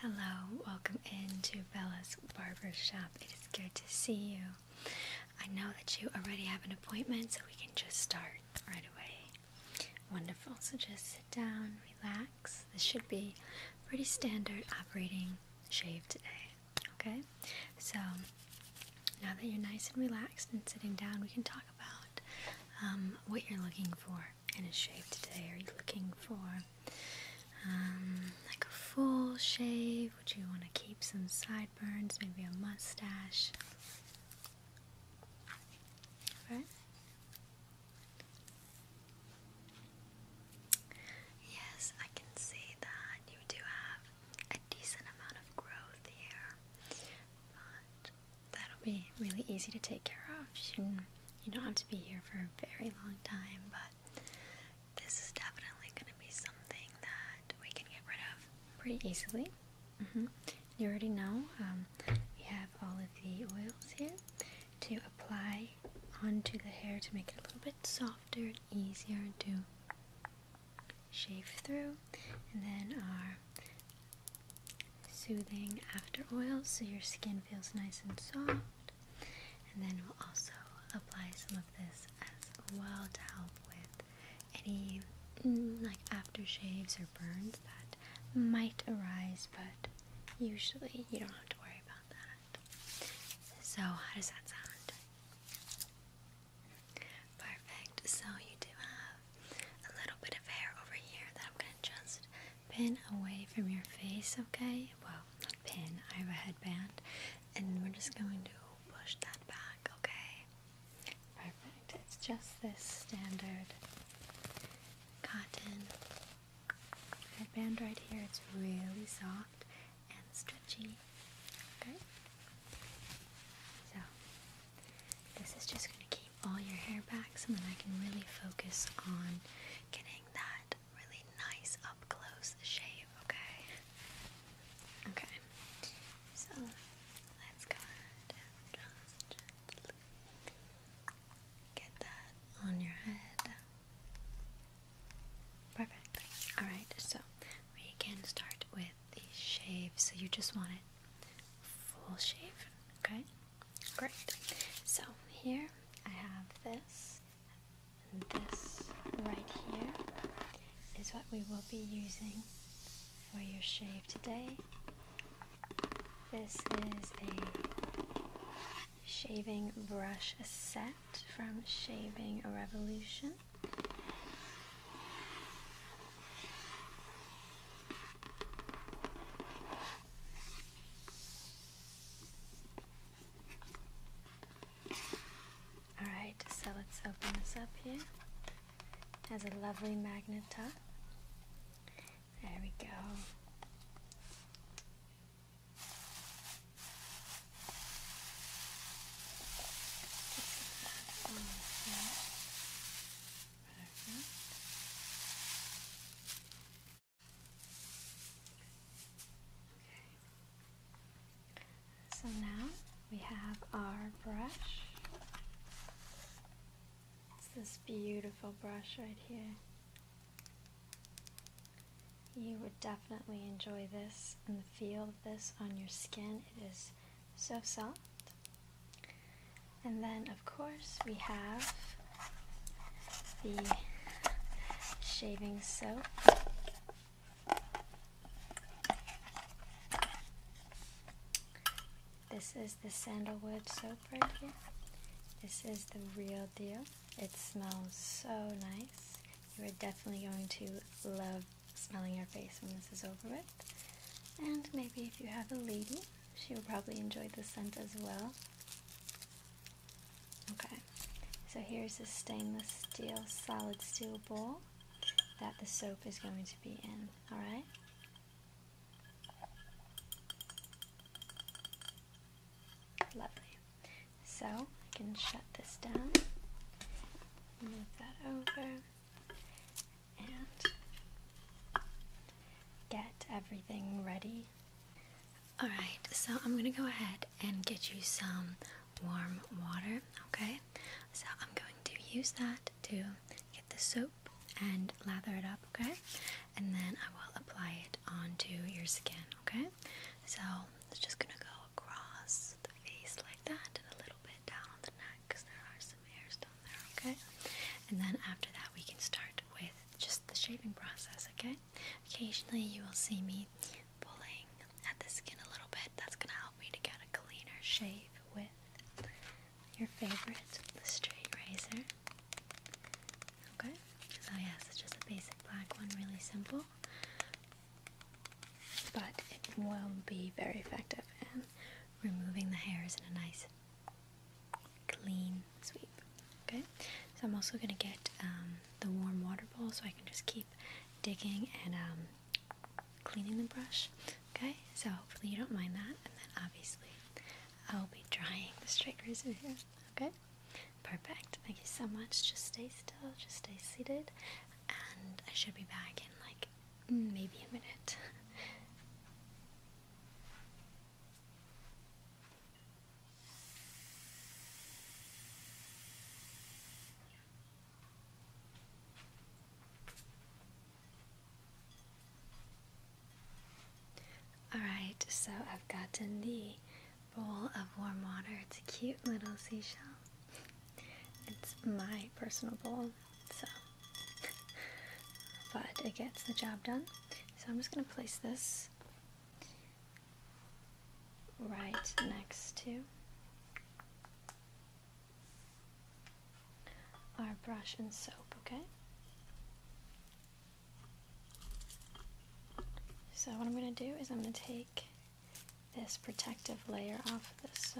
Hello, welcome into Bella's Barber Shop. It is good to see you. I know that you already have an appointment, so we can just start right away. Wonderful. So just sit down, relax. This should be pretty standard operating shave today. Okay? So now that you're nice and relaxed and sitting down, we can talk about um, what you're looking for in a shave today. Are you looking for um, like a full shave? Would you want to keep some sideburns, maybe a mustache? Right? Yes, I can see that you do have a decent amount of growth here, but that'll be really easy to take care of. You, don't have to be here for a very long time, but this is definitely going to be something that we can get rid of pretty easily. Mm-hmm. You already know um, we have all of the oils here to apply onto the hair to make it a little bit softer and easier to shave through, and then our soothing after oil so your skin feels nice and soft. And then we'll also apply some of this as well to help with any mm, like aftershaves or burns that might arise, but usually you don't have to worry about that. So, how does that sound? Perfect. So you do have a little bit of hair over here that I'm gonna just pin away from your face, okay? Well, not pin, I have a headband. And we're just going to push that back, okay? Perfect. It's just this standard cotton headband right here. It's really soft and stretchy. Okay. So this is just going to keep all your hair back so that I can really focus on getting that really nice up close shave, okay? Okay. So let's go just get that on your head. Perfect. Alright, so we can start with get the shave, so you just want it full shave, okay? Great. So here I have this, this right here is what we will be using for your shave today. This is a shaving brush set from Shaving Revolution. Alright, so let's open this up here. It has a lovely magnet top. There we go. So now we have our brush. It's this beautiful brush right here. You would definitely enjoy this and the feel of this on your skin. It is so soft. And then, of course, we have the shaving soap. This is the sandalwood soap right here. This is the real deal. It smells so nice. You are definitely going to love smelling your face when this is over with. And maybe if you have a lady, she will probably enjoy the scent as well. Okay, so here's a stainless steel, solid steel bowl that the soap is going to be in, alright? Lovely. So, I can shut this down move that over and get everything ready. Alright, so I'm gonna go ahead and get you some warm water, okay? So I'm going to use that to get the soap and lather it up, okay? And then I will apply it onto your skin, okay? So it's just gonna go across the face like that and a little bit down on the neck because there are some hairs down there, okay? And then after that, we can start with just the shaving process, okay? Occasionally, you will see me pulling at the skin a little bit. That's going to help me to get a cleaner shave with your favorite, the straight razor. Okay? So, yes, it's just a basic black one, really simple but it will be very effective in removing the hairs in a nice clean sweep. Okay, so I'm also going to get um, the warm water bowl so I can just keep digging and um, cleaning the brush. Okay, so hopefully you don't mind that, and then obviously I'll be drying the straight razor here. Okay, perfect. Thank you so much. Just stay still, just stay seated, and I should be back in like maybe a minute. Alright, so I've gotten the bowl of warm water. It's a cute little seashell. It's my personal bowl, so but it gets the job done. So I'm just gonna place this right next to our brush and soap, okay? So what I'm gonna do is I'm gonna take this protective layer off of this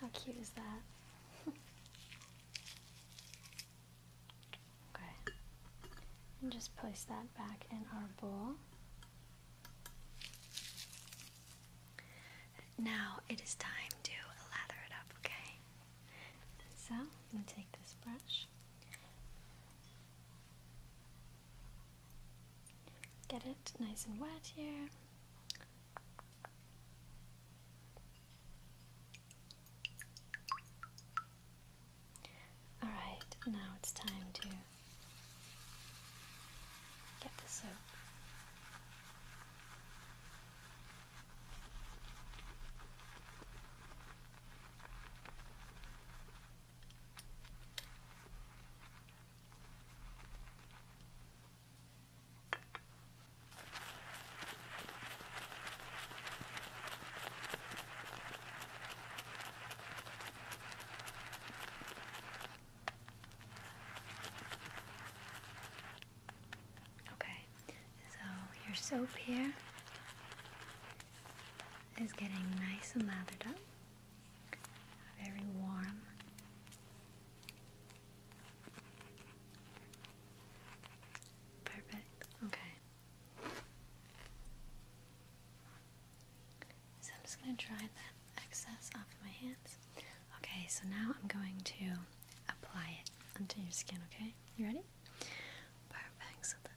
How cute is that? Okay. And just place that back in our bowl. Now it is time to lather it up, okay? So, I'm going to take this brush. Get it nice and wet here. Alright, now it's time to get the soap. Okay, so your soap here is getting nice and lathered up, very warm. Perfect. Okay. So I'm just going to dry that excess off of my hands. Okay, so now I'm going to apply it onto your skin, okay? You ready? Perfect.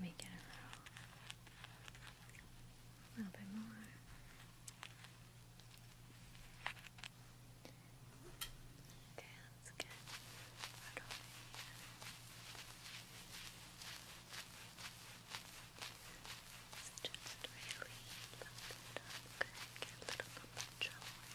Make it a little, a little bit more. Okay, that's good. Right over here. So just really buff it up. Good. Get a little bit of control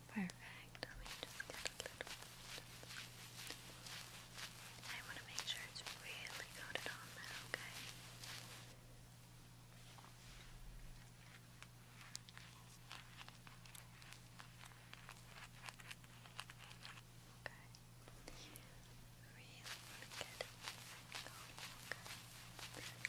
Perfect. Let me just get a I want to make sure it's really coated on there, okay? Okay. Really want Okay.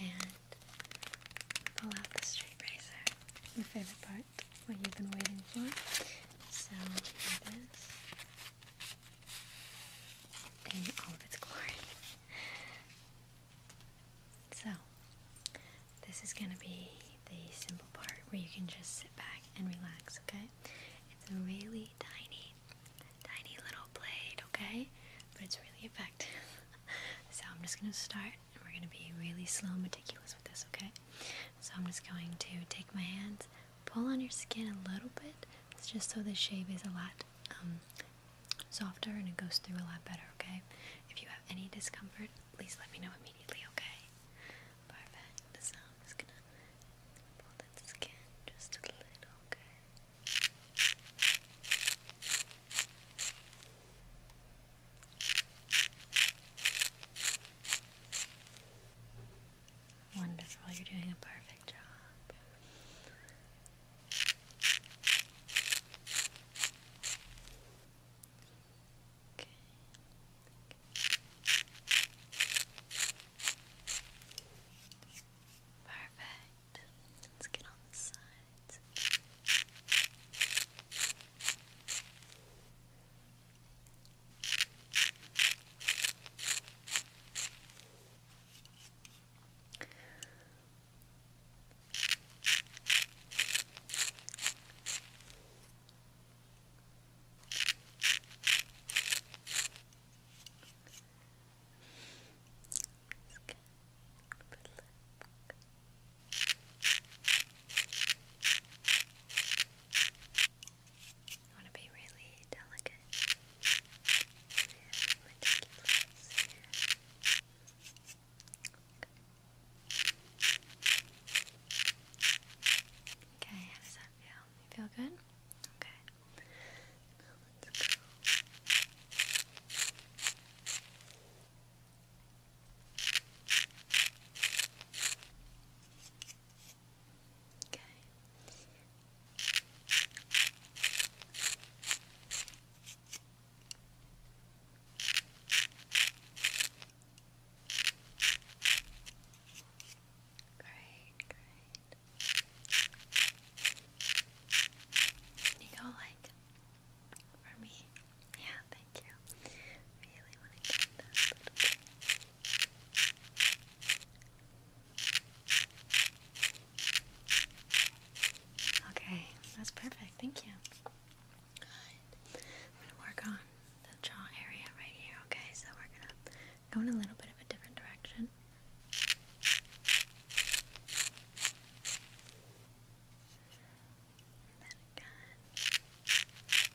and pull out the straight razor. My favorite part, what you've been waiting for. So here it is. In all of its glory. So, this is gonna be the simple part where you can just sit back and relax, okay? It's a really tiny, tiny little blade, okay? But it's really effective. so I'm just going to start and we're going to be really slow and meticulous with this, okay? So I'm just going to take my hands, pull on your skin a little bit. just so the shave is a lot um, softer and it goes through a lot better, okay? If you have any discomfort, please let me know immediately, okay? Perfect. So I'm going to pull that skin just a little, okay? Wonderful, you're doing a perfect job. Okay. Perfect. Let's get on the sides. I want to be really delicate and meticulous here. Okay, how does that feel? You feel good? Okay. Now ago. Okay. Great, great. You go like for me. Yeah, thank you. Really want to get that Okay, that's perfect. Thank you. I'm gonna work on the jaw area right here. Okay, so we're gonna go in a little bit of a different direction one. And then again. Okay, perfect.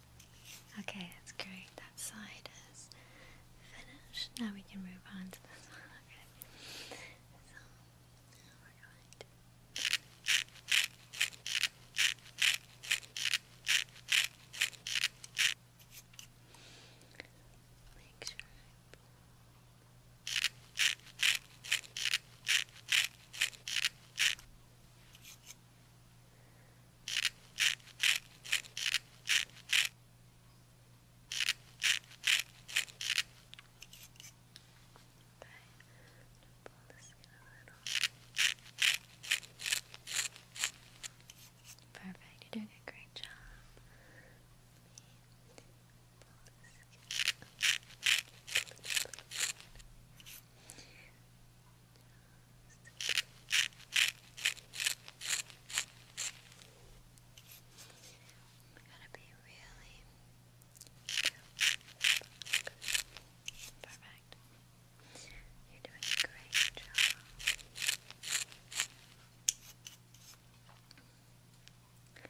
Okay, that's great. That side is finished. Now we can move on to the one. Okay. So we're going to make sure pull the skin a little. Perfect, you're doing a great job. pull the skin. Pull it, pull I'm gonna be really perfect. You're doing a great job. Good.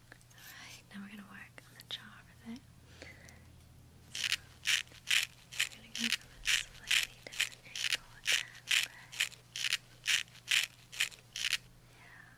Alright, now we're gonna work on the jaw We're gonna go from a slightly different angle Yeah.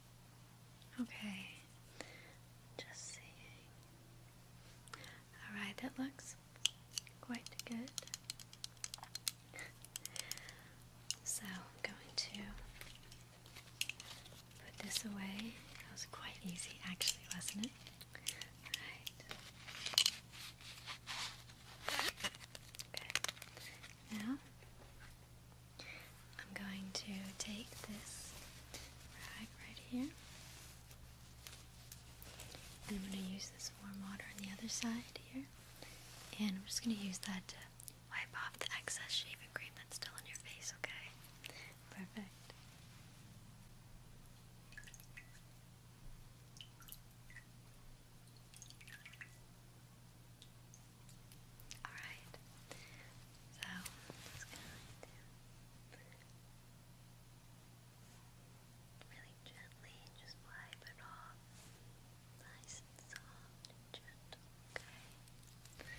Okay, just seeing. Alright, that looks quite good. So going to put this away. was quite easy actually, wasn't it? Alright. Okay. Now I'm going to take this rag right here. And I'm going to use this warm water on the other side here. And I'm just going to use that to wipe off the excess shaving cream that's still on your face, okay? Perfect. Alright, so, just really gently just wipe it off. Nice and soft and gentle, okay?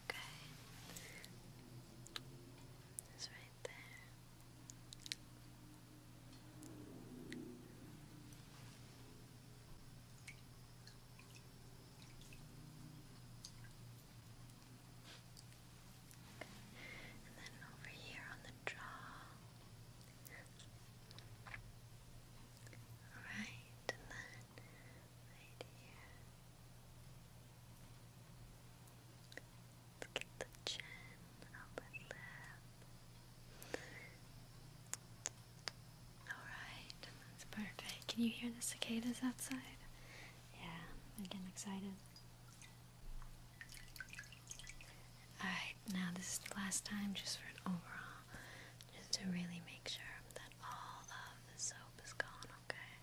Okay. It's right there. And then over here on the jaw. Alright, and then right here. Look the chin, upper lip. Alright, that's perfect. Can you hear the cicadas outside? Yeah, I'm getting excited. Alright, now this is the last time just for an overall, just to really make sure that all of the soap is gone, okay?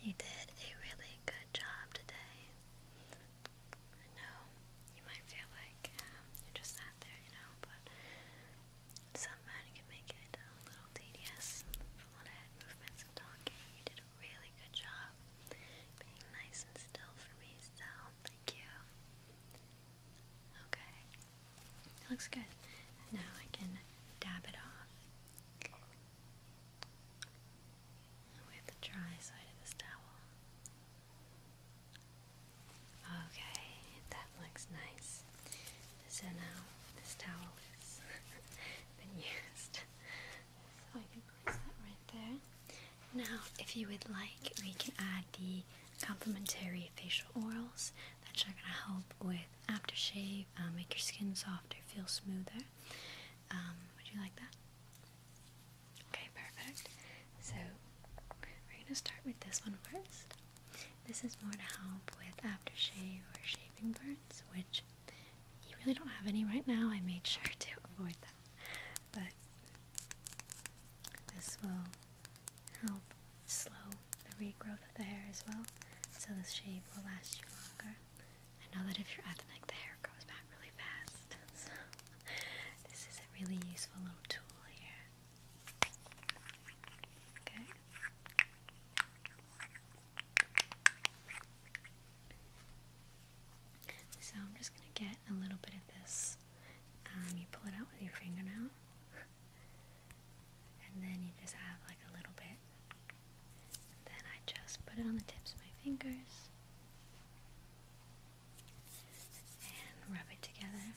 You did a really good job today. I know you might feel like um, you're just not there, you know, but some can make it a little tedious from all movements and talking. You did a really good job being nice and still for me, so thank you. Okay, looks good. Now I can dab it off with the dry side of this towel. Okay, that looks nice. So now this towel has been used. So I can place that right there. Now, if you would like, we can add the complimentary facial oils that are going to help with aftershave, um, make your skin softer, feel smoother. Um, would you like that? Okay, perfect. So we're gonna start with this one first. This is more to help with aftershave or shaving burns, which you really don't have any right now. I made sure to avoid that. But this will help slow the regrowth of the hair as well, so the shave will last you longer. I know that if you're ethnic, the hair grows back really fast. So, this is a really useful little tool here. Okay. So, I'm just going to get a little bit of this. Um, you pull it out with your fingernail, and then you just have like a little bit then I just put it on the tips of my fingers and rub it together.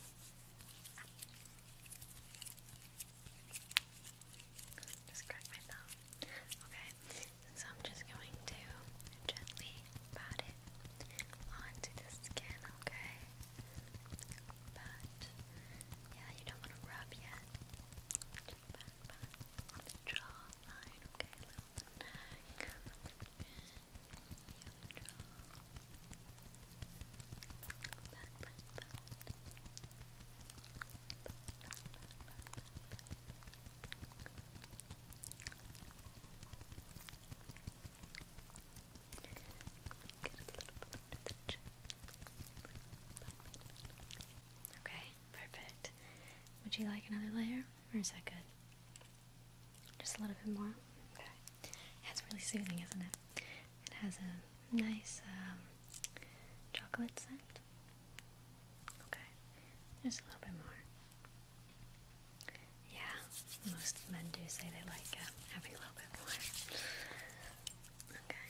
Just crack my thumb. Okay, so I'm just going to gently pat it onto the skin, okay? But yeah, you don't want to rub yet. Just pat, pat on the jawline, okay? the neck and the jaw. Back, back, back. Get a little bit under the chin. Okay perfect. Would you like another layer, or is that good? Just a little bit more? Okay. That's really soothing, isn't it? It has a nice um, chocolate scent. Okay. Just a little bit more. Yeah, most men do say they like uh, having a little bit more. Okay.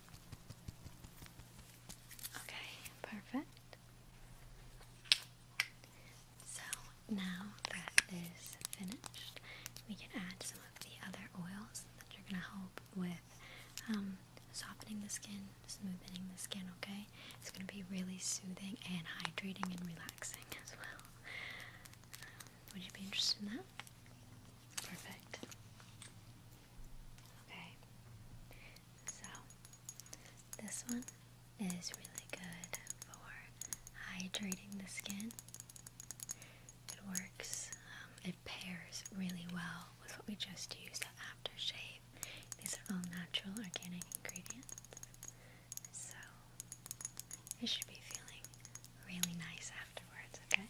Okay, perfect. So now that is finished, we can add some of the other oils that are going to help with um, softening the skin, smoothing the skin, okay? It's going to be really soothing and hydrating and relaxing as well. Um, would you be interested in that? Perfect. Okay, so this one is really good for hydrating the skin. It works, um, it pairs really well with what we just used, the shave. These are all natural organic ingredients, so you should be feeling really nice afterwards, okay?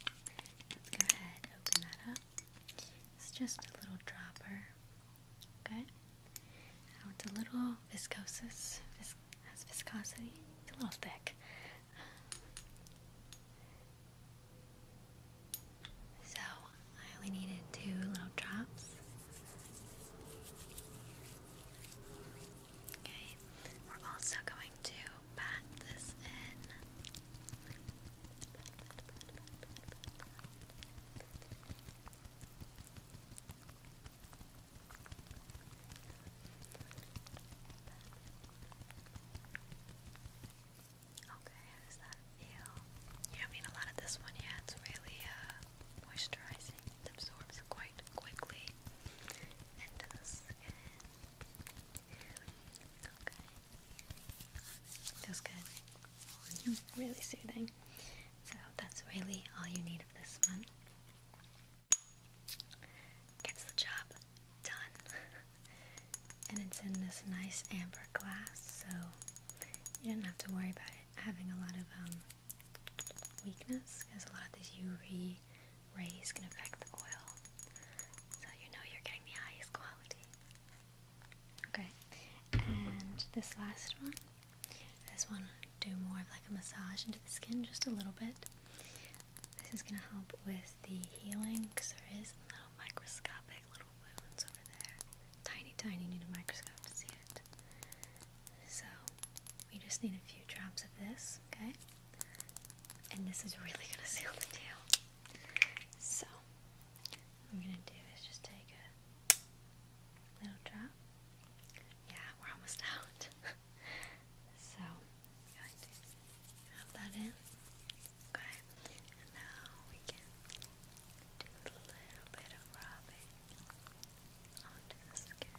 Let's go ahead, open that up. It's just a little dropper, okay? it's a little viscous, viscosity, it's a little thick. So, I only needed two little drops. Okay, we're also going to pat Okay, how does that feel? You don't need a lot of this one yet. It's really uh, moisturizing. It absorbs quite quickly into the skin. Feels good. Really soothing. So that's really all you need of this one. Gets the job done. and it's in this nice amber glass, so you don't have to worry about it having a lot of um, weakness because a lot of these UV rays can affect the oil. So you know you're getting the highest quality. Okay, and this last one, this one, do more of like a massage into the skin just a little bit. This is going to help with the healing because there is little microscopic little wounds over there. Tiny, tiny, need a microscope to see it. So we just need a few drops of this, okay? And this is really gonna seal the deal. So, I'm gonna do is just take a little drop. Yeah, we're almost out. so, i that in. Okay, now we can do a little bit of rubbing onto the skin.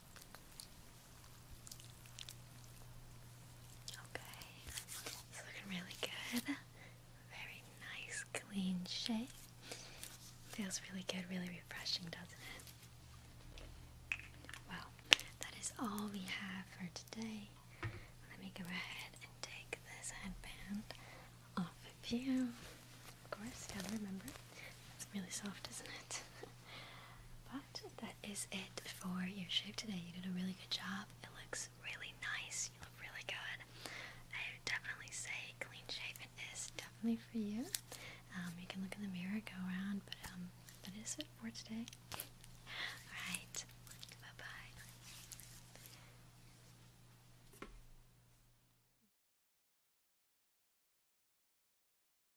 Okay, it's looking really good. Very nice, clean shape. Feels really good, really refreshing, doesn't it? Well, that is all we have for today. Let me go ahead and take this headband off of you. Of course, gotta remember. It's really soft, isn't it? But that is it for your shave today. You did a really good job. It looks really nice. You look really good. I definitely say clean shaven is definitely for you. Um, you can look in the mirror, go around, but um, that is it for today. Alright, bye bye.